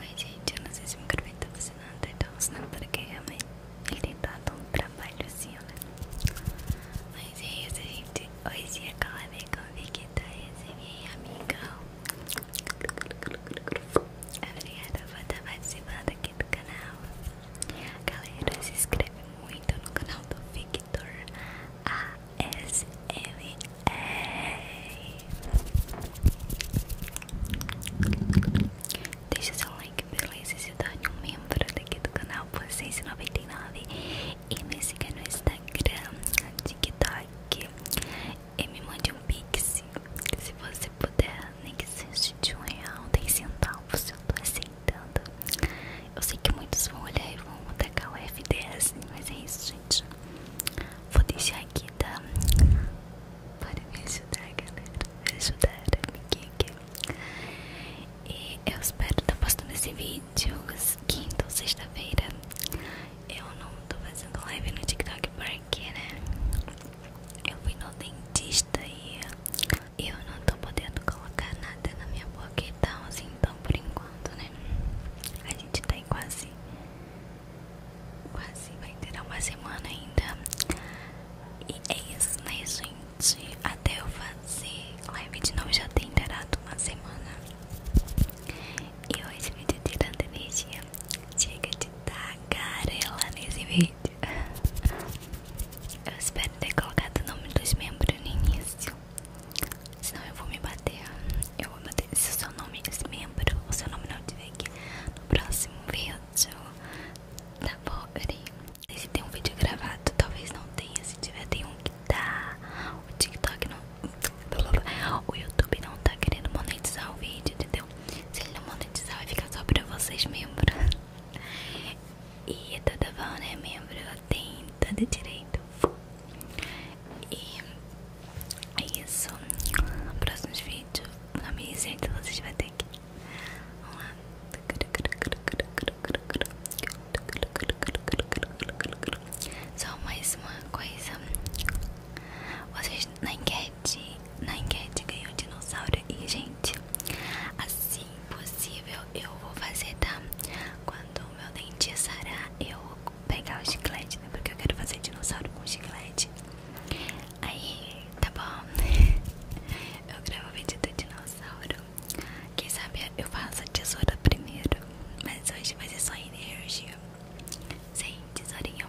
Oi gente, eu não sei se o microfone tá funcionando, então não porque realmente ele tem dado um trabalho assim, né? Mas é isso gente, hoje é a Clara veio convidar essa é minha amiga Obrigada por estar participando aqui do canal Galera, se inscreve muito no canal do Victor ASMR Deixa seu like, beleza? Se torne um membro aqui do canal por 6,99 E me siga no Instagram, TikTok e me mande um pix se você puder, nem que seja de um real, 10 centavos, eu tô aceitando. Eu sei que muitos vão olhar e vão atacar o FDS, mas é isso, gente. Vou deixar aqui, tá? Para me ajudar, galera. Me ajudar, amiguinha. E eu espero estar tá postando esse vídeo quinta ou sexta-feira. Eu não tô fazendo live no TikTok porque, né? Eu fui no dentista e eu não tô podendo colocar nada na minha boca e tal, assim, então por enquanto, né? A gente tá em quase. Quase vai ter uma semana ainda. E é isso, né, gente? Até eu fazer live de novo já tem terado uma semana. E hoje o vídeo de tanta energia Chega de tagarela nesse vídeo Eu espero ter colocado o nome dos membros no início Senão eu vou me bater Eu vou bater Se o seu nome é membro O seu nome não estiver aqui No próximo vídeo Tá bom, peraí Se tem um vídeo gravado Talvez não tenha Se tiver tem um que tá o TikTok não. O YouTube não tá querendo monetizar o vídeo, entendeu? Se ele não monetizar, vai ficar só pra vocês, membros. E toda bom, né, membro? Tem todo direito. E é isso. Próximos vídeos, na minha gente, vocês vão ter aqui Vamos lá. Só mais uma coisa. Vocês na enquete, na enquete ganhou dinossauro e gente, assim possível eu vou fazer, tá? Quando meu dente sarar, eu vou pegar o chiclete, né? Porque eu quero fazer dinossauro com chiclete. Aí, tá bom. Eu gravo o vídeo do dinossauro quem sabe eu faço a tesoura primeiro. Mas hoje vai ser só energia. Sem tesourinha.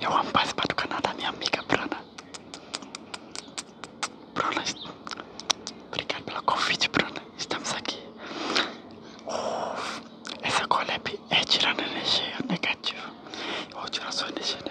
eu um rapaz para do Canadá, minha amiga Bruna. Bruna, obrigado pelo convite, Bruna. Estamos aqui. Oh, essa collab é tirando energia negativa. Ou tirando sua energia negativa.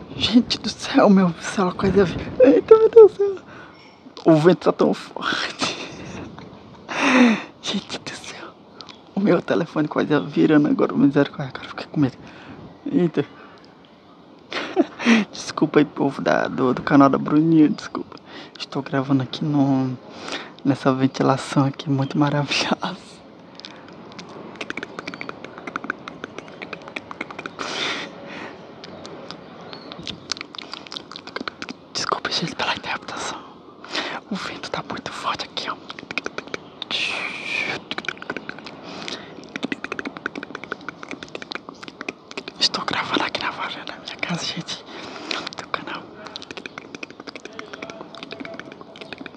Gente do céu, meu, sei lá, coisa. Eita, meu Deus do céu. O vento tá tão forte. Gente do céu. O meu telefone quase tá virando agora o misericórdia. Cara, fiquei com medo. Eita. Desculpa aí, povo da, do, canal da Bruninha, desculpa. Estou gravando aqui no, nessa ventilação aqui muito maravilhosa. Desculpe gente, pela interpretação. O vento está muito forte aqui, ó. Estou gravando aqui na varanda da minha casa, gente, do canal.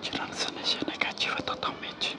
Tirando essa negativa totalmente.